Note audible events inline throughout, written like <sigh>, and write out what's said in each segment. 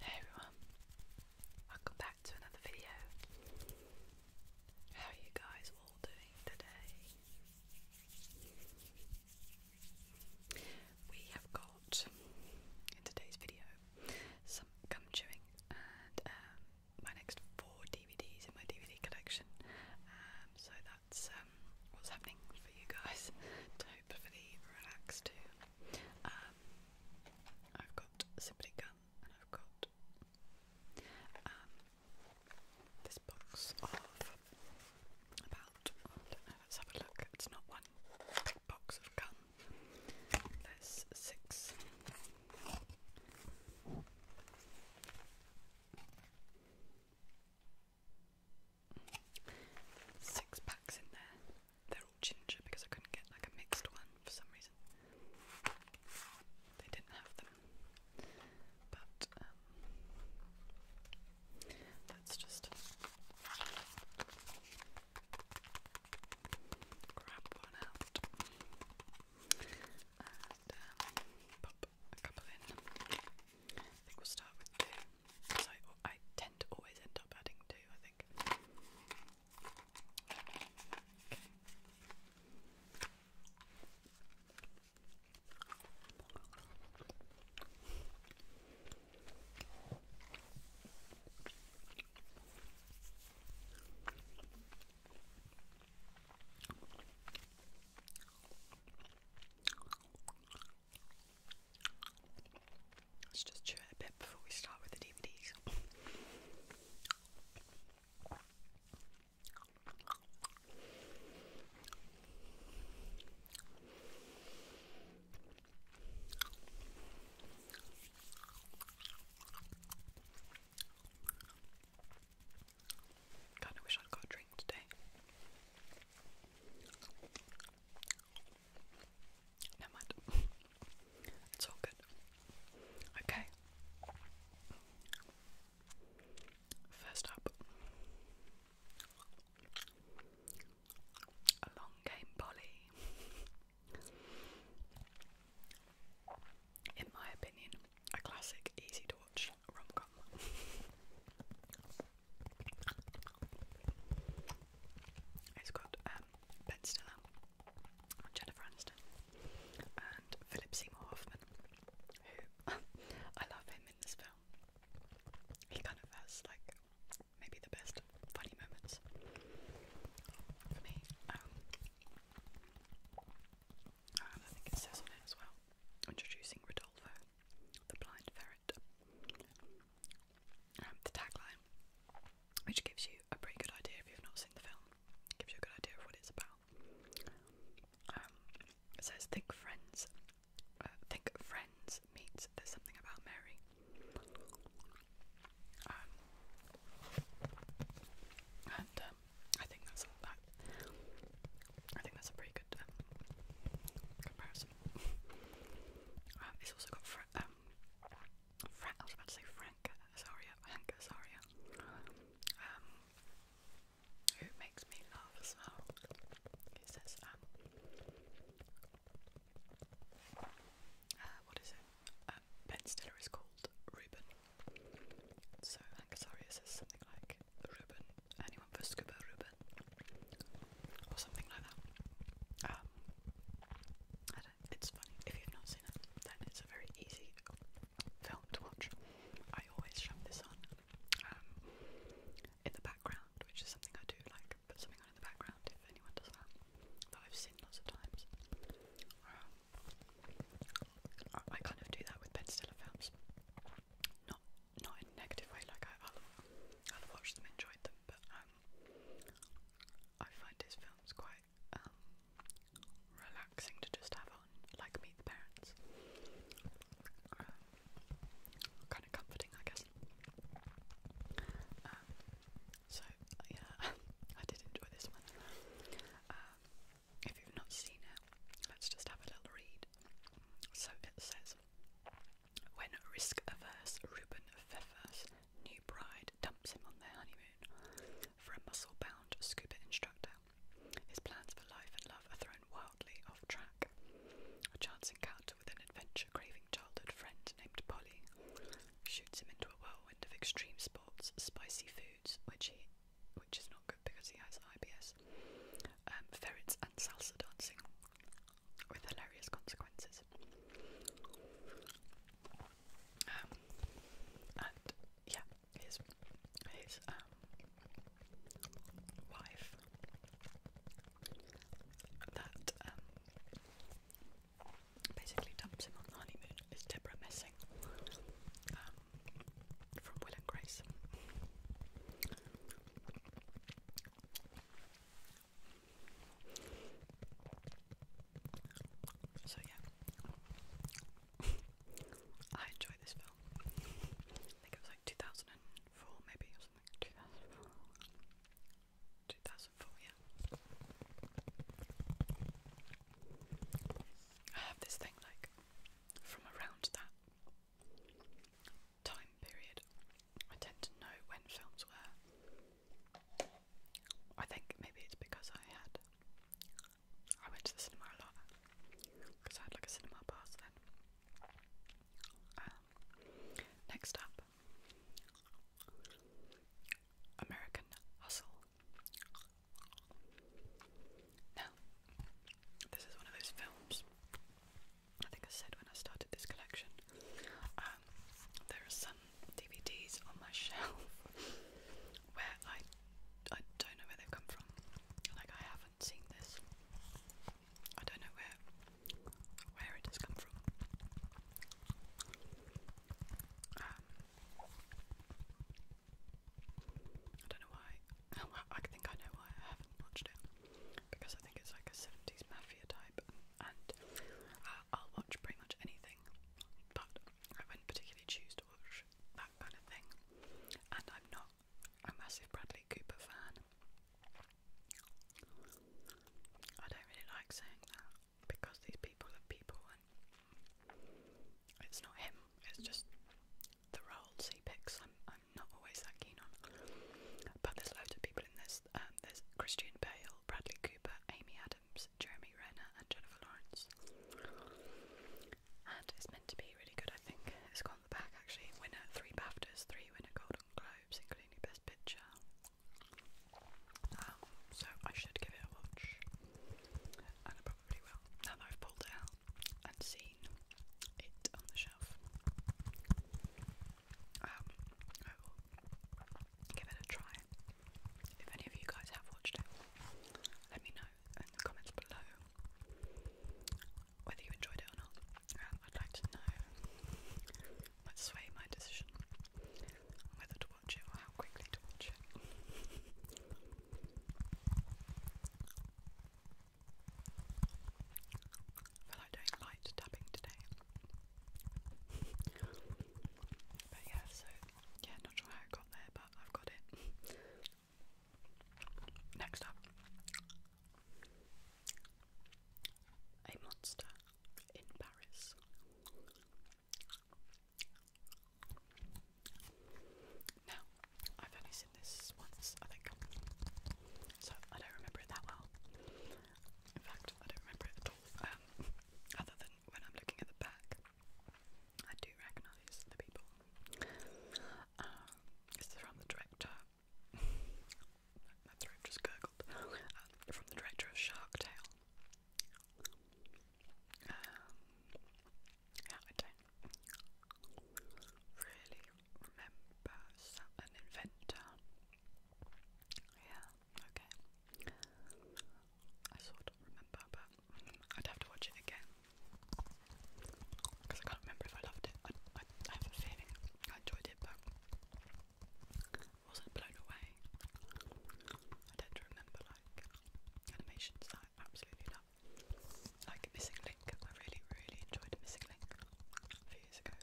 Hey everyone, welcome back to another video. How are you guys all doing today? We have got in today's video some gum chewing and um, my next four DVDs in my DVD collection. Um, so that um, what's happening for you guys to hopefully relax too. Um, I've got Simply Gum and I've got um, this box of about, let's have a look, it's not one box of gum, there's six six packs in there. They're all ginger because I couldn't get like a mixed one for some reason. They didn't have them. But um just grab one out and um, pop a couple in. I think we'll start with two, because I, tend to always end up adding two, I think. Let's just chew it a bit before we start with the DVDs. Kind of wish I'd got a drink today. Never mind. <laughs> it's all good. Okay. First up a long game Polly. In my opinion, a classic, easy to watch rom com. It's got um, Ben Stiller, Jennifer Aniston, and Philip Seymour Hoffman. Who <laughs> I love him in this film. He kind of has like maybe the best funny moments for me. Um, I think it says on it as well. Introducing Rodolfo, the Blind Ferret. Um, the tagline, which gives you a pretty good idea if you've not seen the film, gives you a good idea of what it's about. Um, it says, "Think Friends." Uh, think Friends meets There's Something About Mary. Um, and I think that's a pretty um, comparison. <laughs> um, it's also got Fra um, I was about to say Frank Azaria, Hank Azaria, um, who makes me laugh as well. He says, um, uh, what is it? Uh, ben Stiller is called Ruben. So Hank says something like, Ruben, anyone for Scuba Ruben or something like that. Um, I it's funny if you've not seen it, then it's a very easy film to watch. I always shove this on um, in the background, which is something I do like. Put something on in the background if anyone does that. That I've seen lots of times. Um, I kind of do that with Ben Stiller films. Not not in negative way, like I, I'll, i them, enjoyed them, but um, I find his films quite um, relaxing to just have on, like Meet the Parents. Um, kind of comforting, I guess. Um, so, yeah, <laughs> I did enjoy this one if you've not seen it, let's just have a little read. So it says, when risk-averse Ruben Pfeffer's new bride dumps him on their honeymoon for a muscle-bound scuba instructor, his plans for life and love are thrown wildly off track. A chance encounter with an adventure-craving childhood friend named Polly shoots him into a whirlwind of extreme sports, spicy foods, which he which is not good because he has IBS, um, ferrets and salsa dancing with hilarious consequences. Um, and yeah, his his um, wife that um, basically dumps him on honeymoon is Deborah Messing. Um, from Will and Grace. So yeah, <laughs> I enjoy this film. I think it was like 2004 maybe or something. 2004, yeah. I have this thing like from around that time period. I tend to know when films were. I think maybe it's because I had. I went to the cinema a lot because I had like a cinema pass then. Um, next up, American Hustle. Now, this is one of those films. I think I said when I started this collection. Um, there are some DVDs on my <laughs> shelf where I I don't know where they've come from. Like I haven't seen this. I don't know where where it has come from. Um, I don't know why. <laughs> I think I know why I haven't watched it because I think it's like a seventies mafia type, and uh, I'll watch pretty much anything, but I wouldn't particularly choose to watch that kind of thing. And I'm not a massive Bradley Cooper fan. I don't really like saying that because these people are people, and it's not him. It's just the roles he picks, I'm, I'm not always that keen on. But there's loads of people in this. Um, there's Christian Bale, Bradley Cooper, Amy Adams, Jeremy Renner, and Jennifer Lawrence. And it's meant to be really good, I think. It's got on the back actually. Winner three BAFTAs, three winner Golden Globes, including Best Picture. Um, so I should give it a watch, and I probably will. Now that I've pulled it out and seen it on the shelf. Um, I will give it a try. If any of you guys have watched it, let me know in the comments below whether you enjoyed it or not. I'd like to know what sway my decision whether to watch it or how quickly to watch it. <laughs> I feel like tapping today. but yeah, so yeah, not sure how I got there, but I've got it. Next up, a monster in Paris. Now, I've only seen this once, I think, so I don't remember it that well. In fact, I don't remember it at all, um, other than when I'm looking at the back. I do recognise the people. Um, it's from the director. My <laughs> throat just gurgled. Uh, from the director of Shark Tale. yeah, um, I don't really remember an inventor. Yeah, okay. I sort of remember, but I'd have to watch it again because I can't remember if I loved it. I, have a feeling I enjoyed it, but wasn't blown away. I don't remember like animations that I absolutely love. Like Missing Link, I really, really enjoyed Missing Link a few years ago.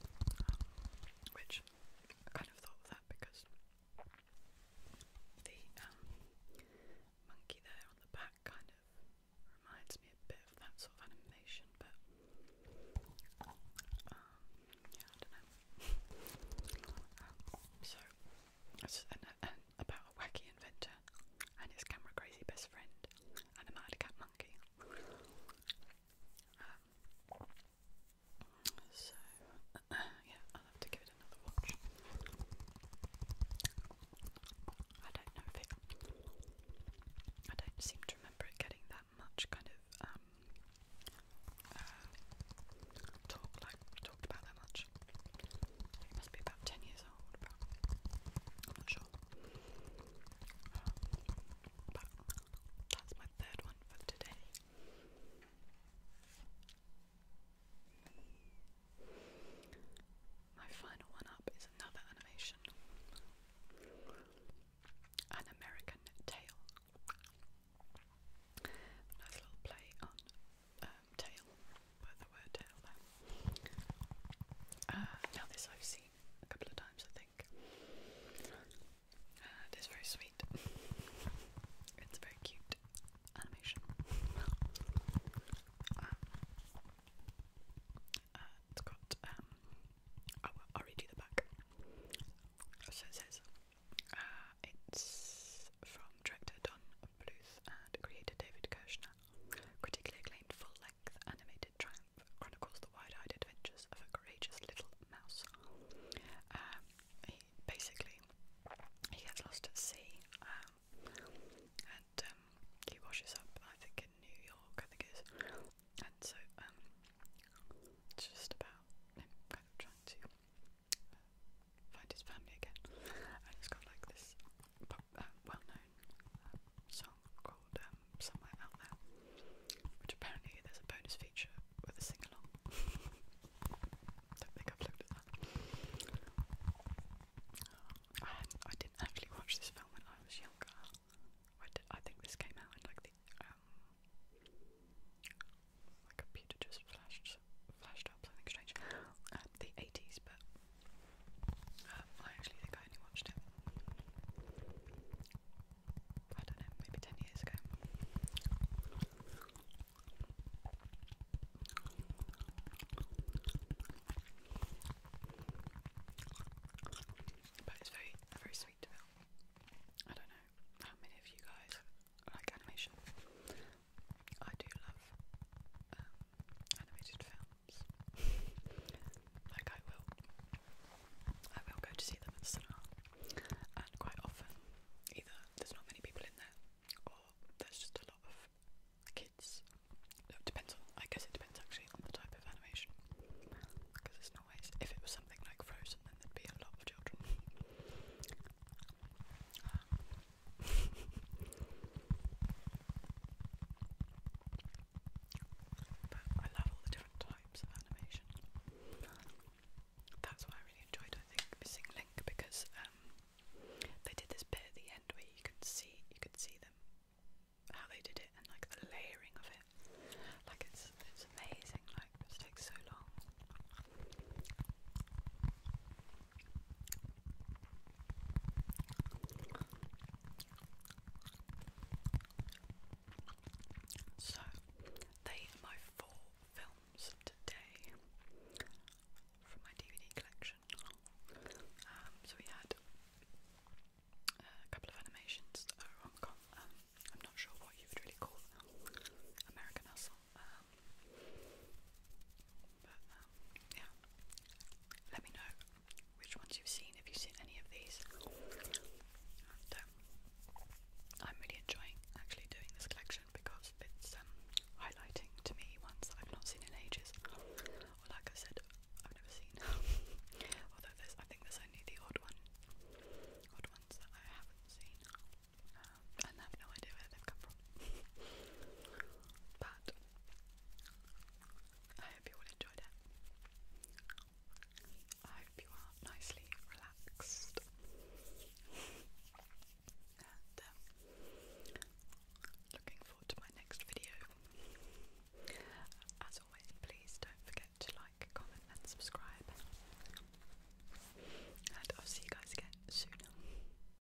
Um, which I kind of thought that because the um, monkey there on the back kind of reminds me a bit of that sort of animation, but um, yeah, I don't know. <laughs> um, so, and, and one about a wacky inventor and his camera crazy best friend and a mad cat monkey. Um, so, uh, <clears throat> yeah, I'll have to give it another watch. I don't know if it. I don't seem to remember it getting that much kind of um, uh, talk like I've talked about that much. must be about 10 years old, I'm not sure. but that's my third one for today. My final one up is another animation An American Tale. Nice little play on um, tail, the word tail uh, now this I've seen a couple of times I think. Uh, it is very sweet. It's very cute animation. Um, uh, it's got, um, oh, I'll redo the back. So it says, uh, it's from Director Don Bluth and creator David Kirshner, critically acclaimed full-length animated triumph chronicles the wide-eyed adventures of a courageous little mouse. Um, he basically he gets lost at sea, um, and um, he washes up. I think in New York, I think it is, and so it's just about kind of trying to. Uh, find his family again, and it's got like this well-known uh, song called um, "Somewhere Out There," which apparently there's a bonus feature with a sing-along. <laughs> Don't think I've looked at that. I, didn't actually watch this film when I was younger. I, think this came out in like the um, my computer just flashed flashed something strange. the 80s, but uh, I actually think I only watched it. I don't know, maybe 10 years ago. But it's very, very sweet to film. I don't know how many of you guys like animation. I do love um, animated films. <laughs> like I will, I will go to see them at the cinema, and quite often either there's not many people in there, or there's just a lot of kids. It depends on, I guess it depends actually on the type of animation, because it's not always. If it was something like Frozen, then there'd be a lot of children. <laughs> Um, but I love all the different types of animation. That's what I really enjoyed, I think, Missing Link because um, they did this bit at the end where you could see you could see them how they did it and like the layering of it. Like it's it's amazing, like it takes so long. So, they my four films today from my DVD collection. Um, so we had uh, a couple of animations, um, I'm not sure what you would really call American Hustle, um, um, yeah, let me know which ones you've seen, if you've seen any of these. Um, I'm really enjoying actually doing this collection because it's um, highlighting to me ones that I've not seen in ages, or like I said, I've never seen. <laughs> Although there's, I think there's only the odd one, odd ones that I haven't seen. and I have no idea where they've come from. <laughs> but I hope you all enjoyed it. I hope you are nicely relaxed. and um, looking forward to my next video. As always, please don't forget to like, comment, and subscribe. And I'll see you guys again soon.